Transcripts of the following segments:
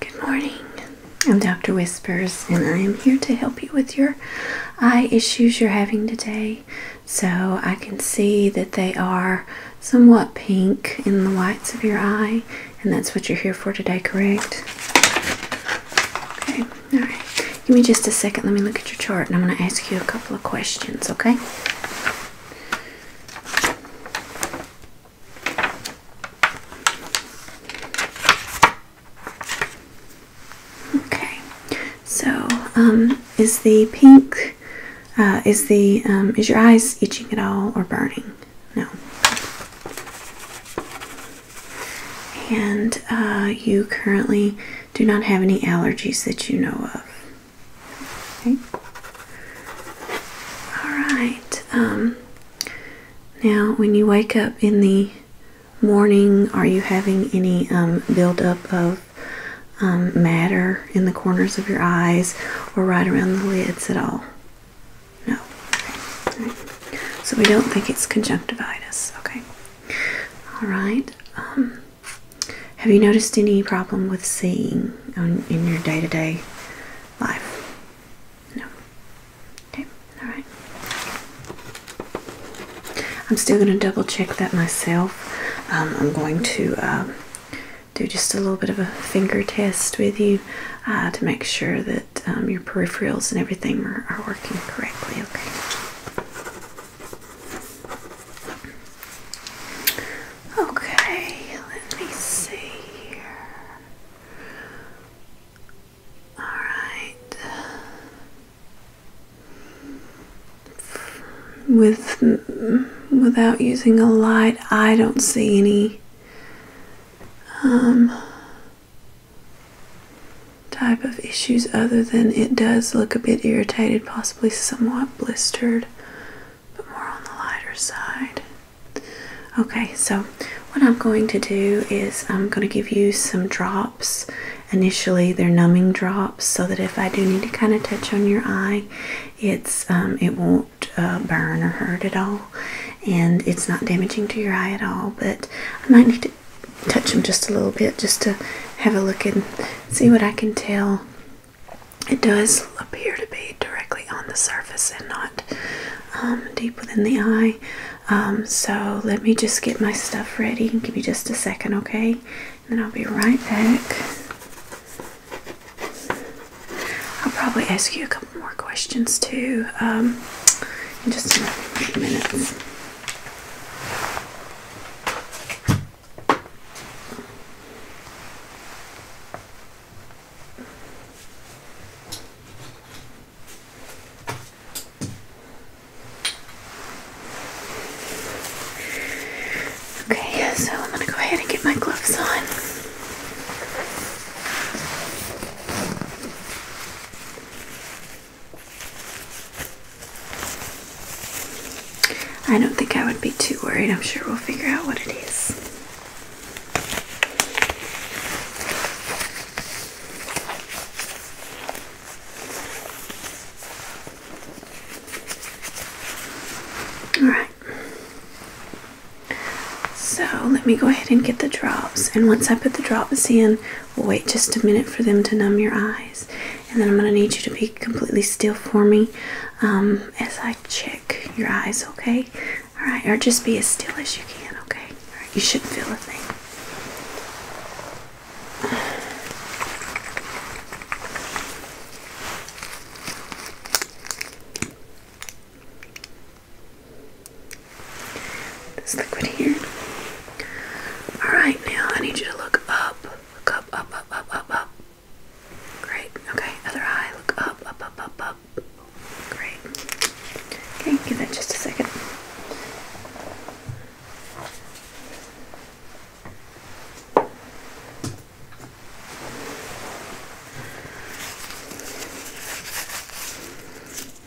Good morning. I'm Dr. Whispers, and I am here to help you with your eye issues you're having today. So I can see that they are somewhat pink in the whites of your eye, and that's what you're here for today, correct? Okay, all right. Give me just a second. Let me look at your chart, and I'm going to ask you a couple of questions, okay? Okay, so um, is the pink, uh, is the um, is your eyes itching at all or burning? No. And uh, you currently do not have any allergies that you know of. Okay. All right. Um, now, when you wake up in the morning, are you having any um, buildup of um, matter in the corners of your eyes or right around the lids at all? No. So we don't think it's conjunctivitis. Okay. All right. have you noticed any problem with seeing in your day to day life? No. Okay, alright. I'm still going to double check that myself. Um, I'm going to um, do just a little bit of a finger test with you uh, to make sure that um, your peripherals and everything are, are working correctly. Okay. Okay, let me see here. All right. With without using a light, I don't see any um, type of issues other than it does look a bit irritated, possibly somewhat blistered but more on the lighter side. Okay, so what I'm going to do is I'm going to give you some drops. Initially, they're numbing drops, so that if I do need to kind of touch on your eye, it's um, it won't uh, burn or hurt at all, and it's not damaging to your eye at all. But I might need to touch them just a little bit just to have a look and see what I can tell. It does appear to be directly on the surface and not um, deep within the eye. Um, so let me just get my stuff ready. Give me just a second, okay? And then I'll be right back. I'll probably ask you a couple more questions too um, in just a minute. Okay, so I'm going to go ahead and get my gloves on. I don't think I would be too worried. I'm sure we'll figure out what it is. All right. So let me go ahead and get the drops. And once I put the drops in, we'll wait just a minute for them to numb your eyes. And then I'm going to need you to be completely still for me um, as I check your eyes, okay? All right, or just be as still as you can, okay? you shouldn't feel a thing. This liquid here. All right, now I need you to look up, look up, up, up, up, up, up. Great. Okay, other eye. Look up, up, up, up, up. Great. Okay, give that just a second.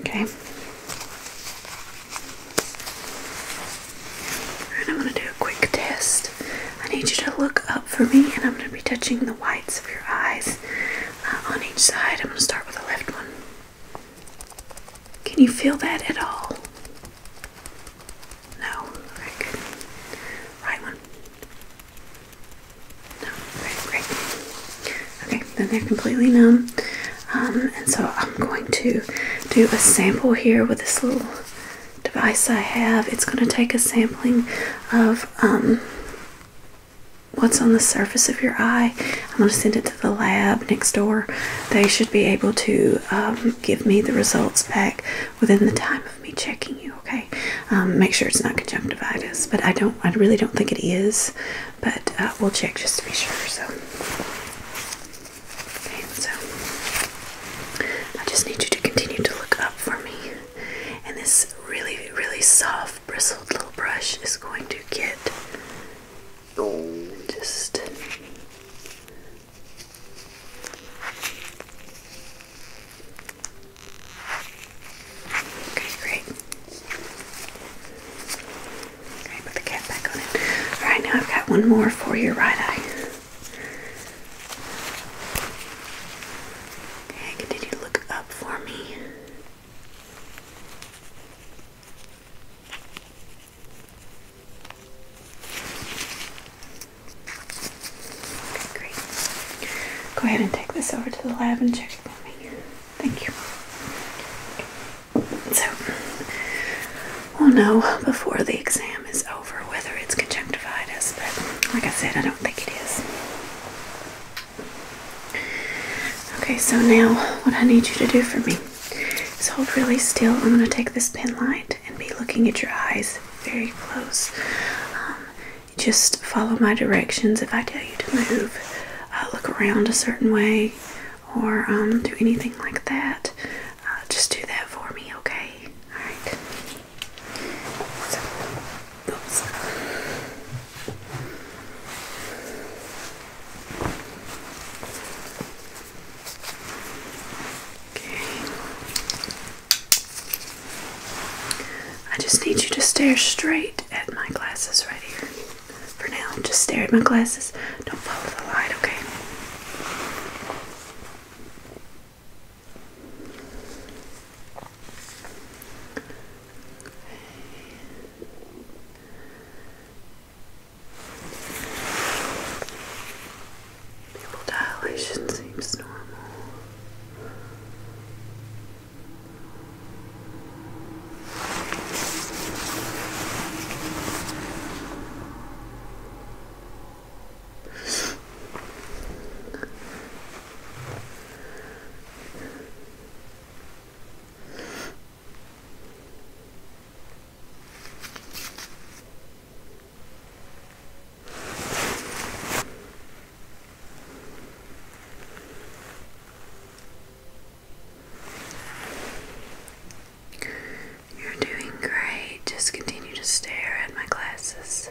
Okay. And I'm going to do a quick test. I need you to look up for me, and I'm going to be touching the whites of your eyes. Uh, on each side. I'm going to start with the left one. Can you feel that at all? No. Very good. Right one. No. Great. Great. Okay. Then they're completely numb. Um, and so I'm going to do a sample here with this little device I have. It's going to take a sampling of um, what's on the surface of your eye. I'm going to send it to the lab next door. They should be able to um, give me the results back within the time of me checking you. Okay, um, make sure it's not conjunctivitis, but I don't. I really don't think it is. But uh, we'll check just to be sure. So. Okay, so I just need you to continue to look up for me. And this really, really soft rough bristled little brush is going to get oh, just Okay, great. Okay, put the cap back on it. Alright, now I've got one more for your right eye. Okay, continue to look up for me. Go ahead and take this over to the lab and check it for me. Thank you. So, we'll know before the exam is over whether it's conjunctivitis, but like I said, I don't think it is. Okay, so now what I need you to do for me is hold really still. I'm going to take this pen light and be looking at your eyes very close. Um, just follow my directions. If I tell you to move, uh, look around a certain way, or um, do anything like that, uh, just do that for me, okay? Alright. Okay. I just need you to stare straight at my glasses right here. For now, just stare at my glasses. Don't follow the light, okay? Pupil dilation seems normal. You're doing great. Just continue to stare at my glasses.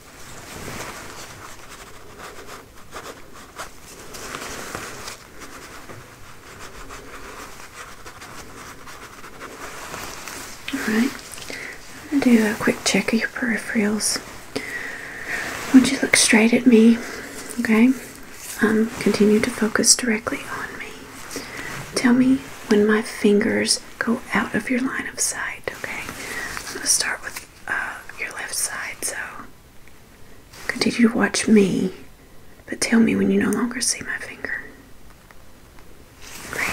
Alright, I'll do a quick check of your peripherals. Once you look straight at me, okay? Um, continue to focus directly on me. Tell me when my fingers go out of your line of sight, okay? I'm going to start with uh, your left side, so Continue to watch me, but tell me when you no longer see my finger. Great.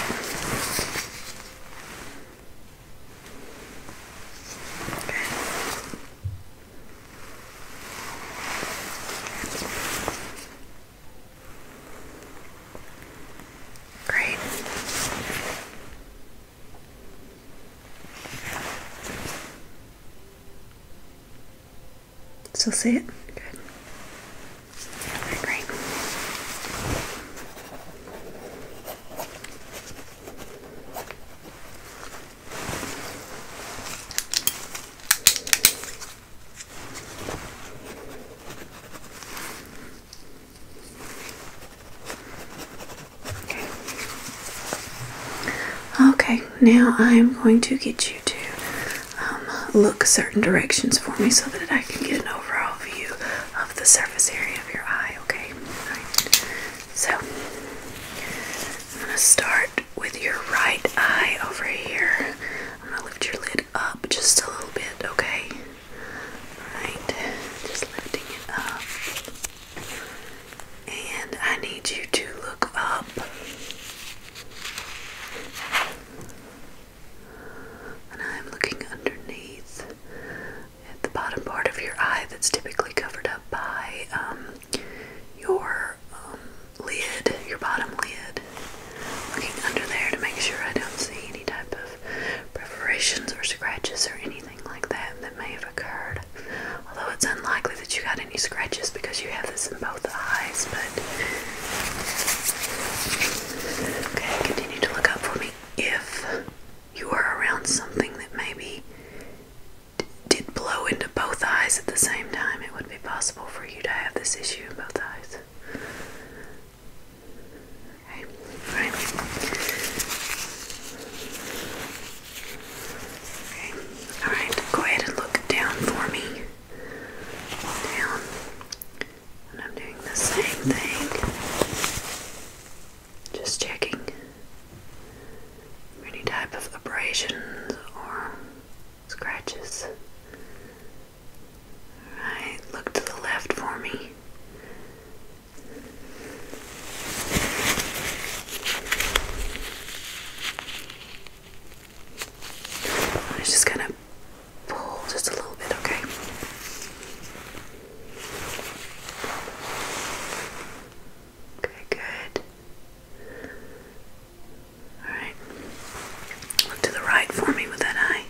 Great. Still see it? Good. Okay, great. Okay, now I'm going to get you to um, look certain directions for me so that I can get an overall view of the surface area of your eye, okay? Right. So, I'm going to start with your right eye over here. I'm going to lift your lid up just a little bit, okay? All right, just lifting it up. And I need you to look up. And I'm looking underneath at the bottom part of your eye that's typically covered up by um, your um, lid, your bottom lid. Looking under there to make sure I don't see any type of perforations or scratches or anything like that that may have occurred. Although it's unlikely that you got any scratches because you have this in both eyes, but. Okay, continue to look up for me. If you are around something that maybe did blow into both eyes at the same time, it would be possible for you to have this issue in both eyes. right. All right. Go ahead and look down for me. Down. And I'm doing the same thing. Just checking any type of abrasions or scratches. All right. Look to the left for me. I'm just gonna pull just a little bit, okay? Okay, good. Alright. Look to the right for me with that eye.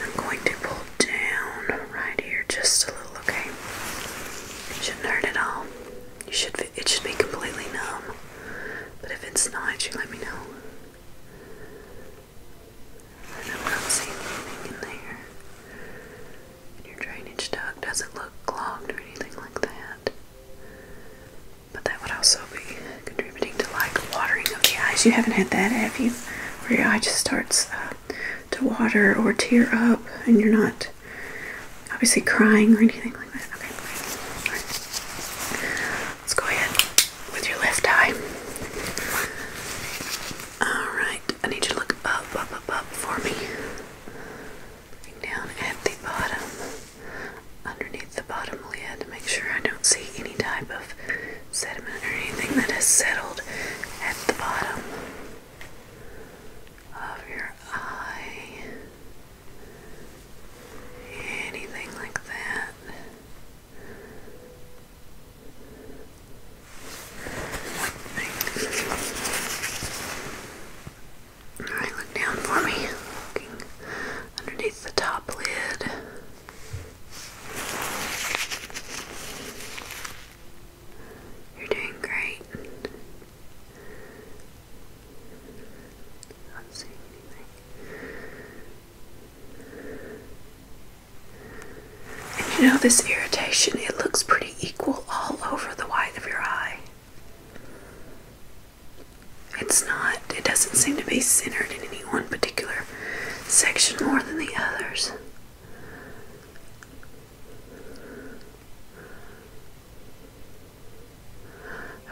I'm going to pull down right here just a little, okay? It shouldn't hurt at all. You should it should be completely numb. But if it's not, you let me know. And I'm not seeing anything in there. And your drainage duct doesn't look clogged or anything like that. But that would also be contributing to like watering of the eyes. You haven't had that, have you? Where your eye just starts uh, to water or tear up and you're not obviously crying or anything like that. Okay. right. Let's go ahead with your left eye. Alright, I need you to look up, up, up, up for me. down at the bottom, underneath the bottom lid, make sure I don't see any type of sediment or anything that has settled at the bottom of your eye. Anything like that. Alright, look down for me. Looking underneath the top lid. You're doing great. Not seeing anything. you know this irritation, it looks pretty equal all over the white of your eye. It's not, it doesn't seem to be centered in any one particular section more than the others.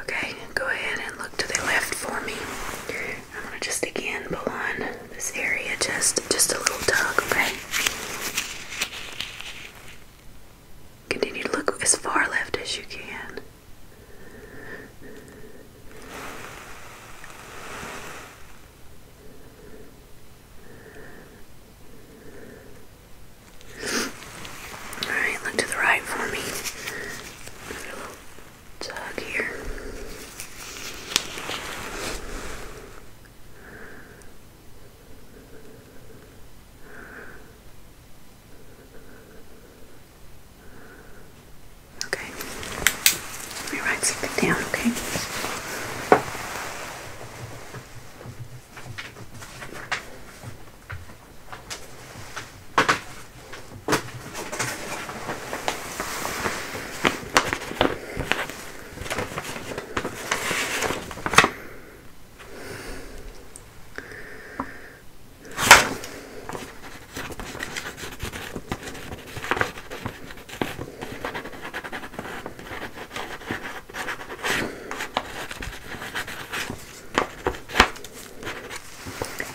Okay, go ahead and look to the left for me. I'm gonna just again pull on this area just just a little tug, okay? Continue to look as far left as you can. Alright, look to the right for me. little tug here. Okay, let me write something down, okay? Okay.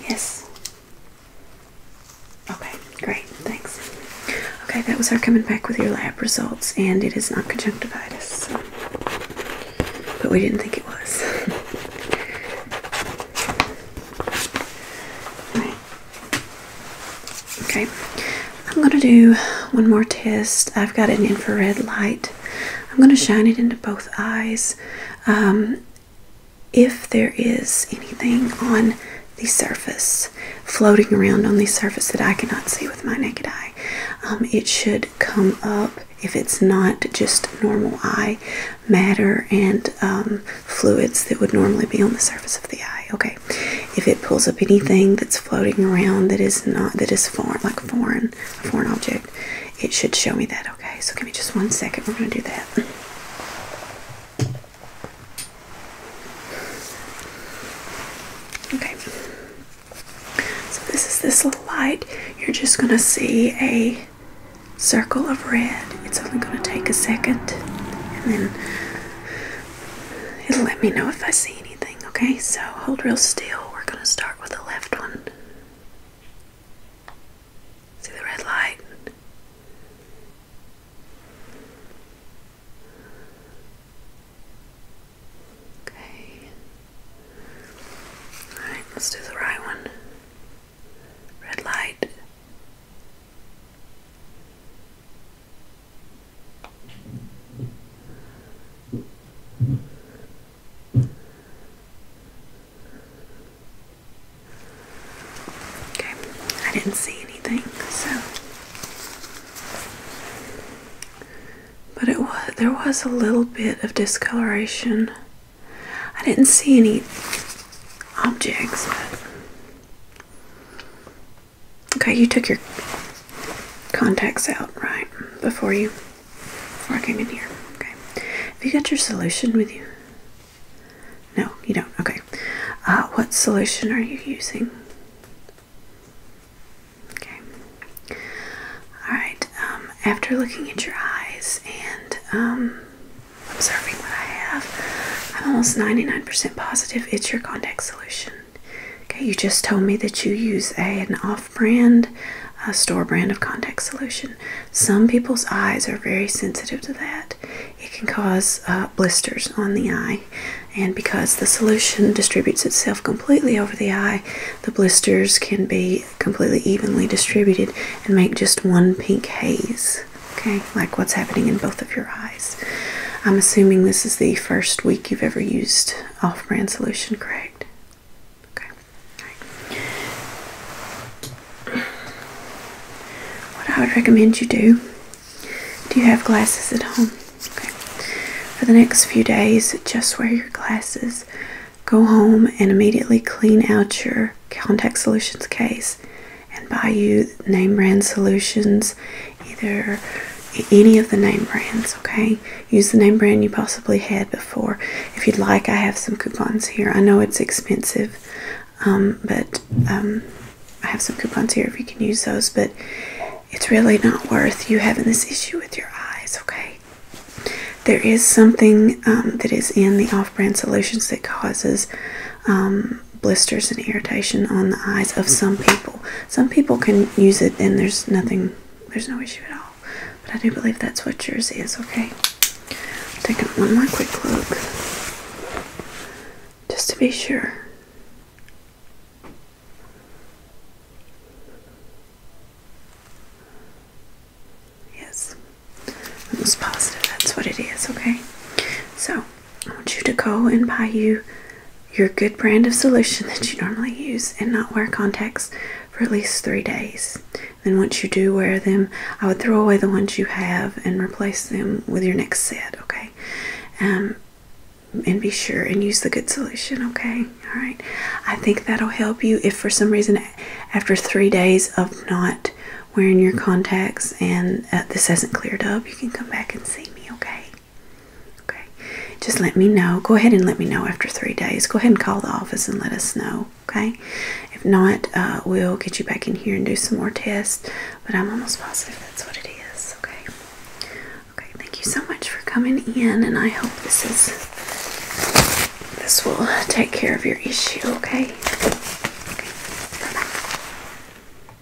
Yes. Okay, great, thanks. Okay, that was our coming back with your lab results, and it is not conjunctivitis, but we didn't think it was. Okay, I'm going to do one more test. I've got an infrared light. I'm going to shine it into both eyes. Um, if there is anything on the surface, floating around on the surface that I cannot see with my naked eye, um, it should come up if it's not just normal eye matter and um, fluids that would normally be on the surface of the eye. Okay, if it pulls up anything that's floating around that is not that is foreign like foreign a foreign object it should show me that okay so give me just one second we're going to do that okay so this is this little light you're just going to see a circle of red it's only going to take a second and then let me know if I see anything, okay? So hold real still. We're going to start with the left one. See the red light? Okay. Alright, let's do the right one. Red light. Okay, I didn't see anything, so but it was there was a little bit of discoloration. I didn't see any objects, Okay, you took your contacts out, right? Before you before I came in here. Okay. Have you got your solution with you? No, you don't. Okay. Uh, what solution are you using? Okay. Alright, um, after looking at your eyes and um, observing what I have, I'm almost 99% positive it's your contacts. Okay, you just told me that you use an off-brand store brand of contact solution. Some people's eyes are very sensitive to that. It can cause uh, blisters on the eye, and because the solution distributes itself completely over the eye, the blisters can be completely evenly distributed and make just one pink haze. Okay, like what's happening in both of your eyes. I'm assuming this is the first week you've ever used off brand solution, correct? Okay. What I would recommend you do do you have glasses at home? Okay. For the next few days, just wear your glasses. Go home and immediately clean out your contact solutions case and buy you name brand solutions, either any of the name brands, okay? Use the name brand you possibly had before. If you'd like, I have some coupons here. I know it's expensive, um, but um, I have some coupons here if you can use those, but it's really not worth you having this issue with your eyes, okay? There is something um, that is in the off brand solutions that causes blisters and irritation on the eyes of some people. Some people can use it and there's nothing, there's no issue at all. But I do believe that's what yours is, okay? Taking one more quick look just to be sure. Yes, almost positive that's what it is, okay? So, I want you to go and buy you your good brand of solution that you normally use and not wear contacts for at least three days. Then, once you do wear them, I would throw away the ones you have and replace them with your next set, okay? Um, and be sure and use the good solution, okay? All right. I think that'll help you if for some reason after three days of not wearing your contacts and uh, this hasn't cleared up, you can come back and see me, okay? Okay, just let me know. Go ahead and let me know after three days. Go ahead and call the office and let us know. Okay, if not, uh, we'll get you back in here and do some more tests. But I'm almost positive that's what it is. Okay, okay. Thank you so much for coming in, and I hope this is this will take care of your issue. Okay. okay. Bye bye.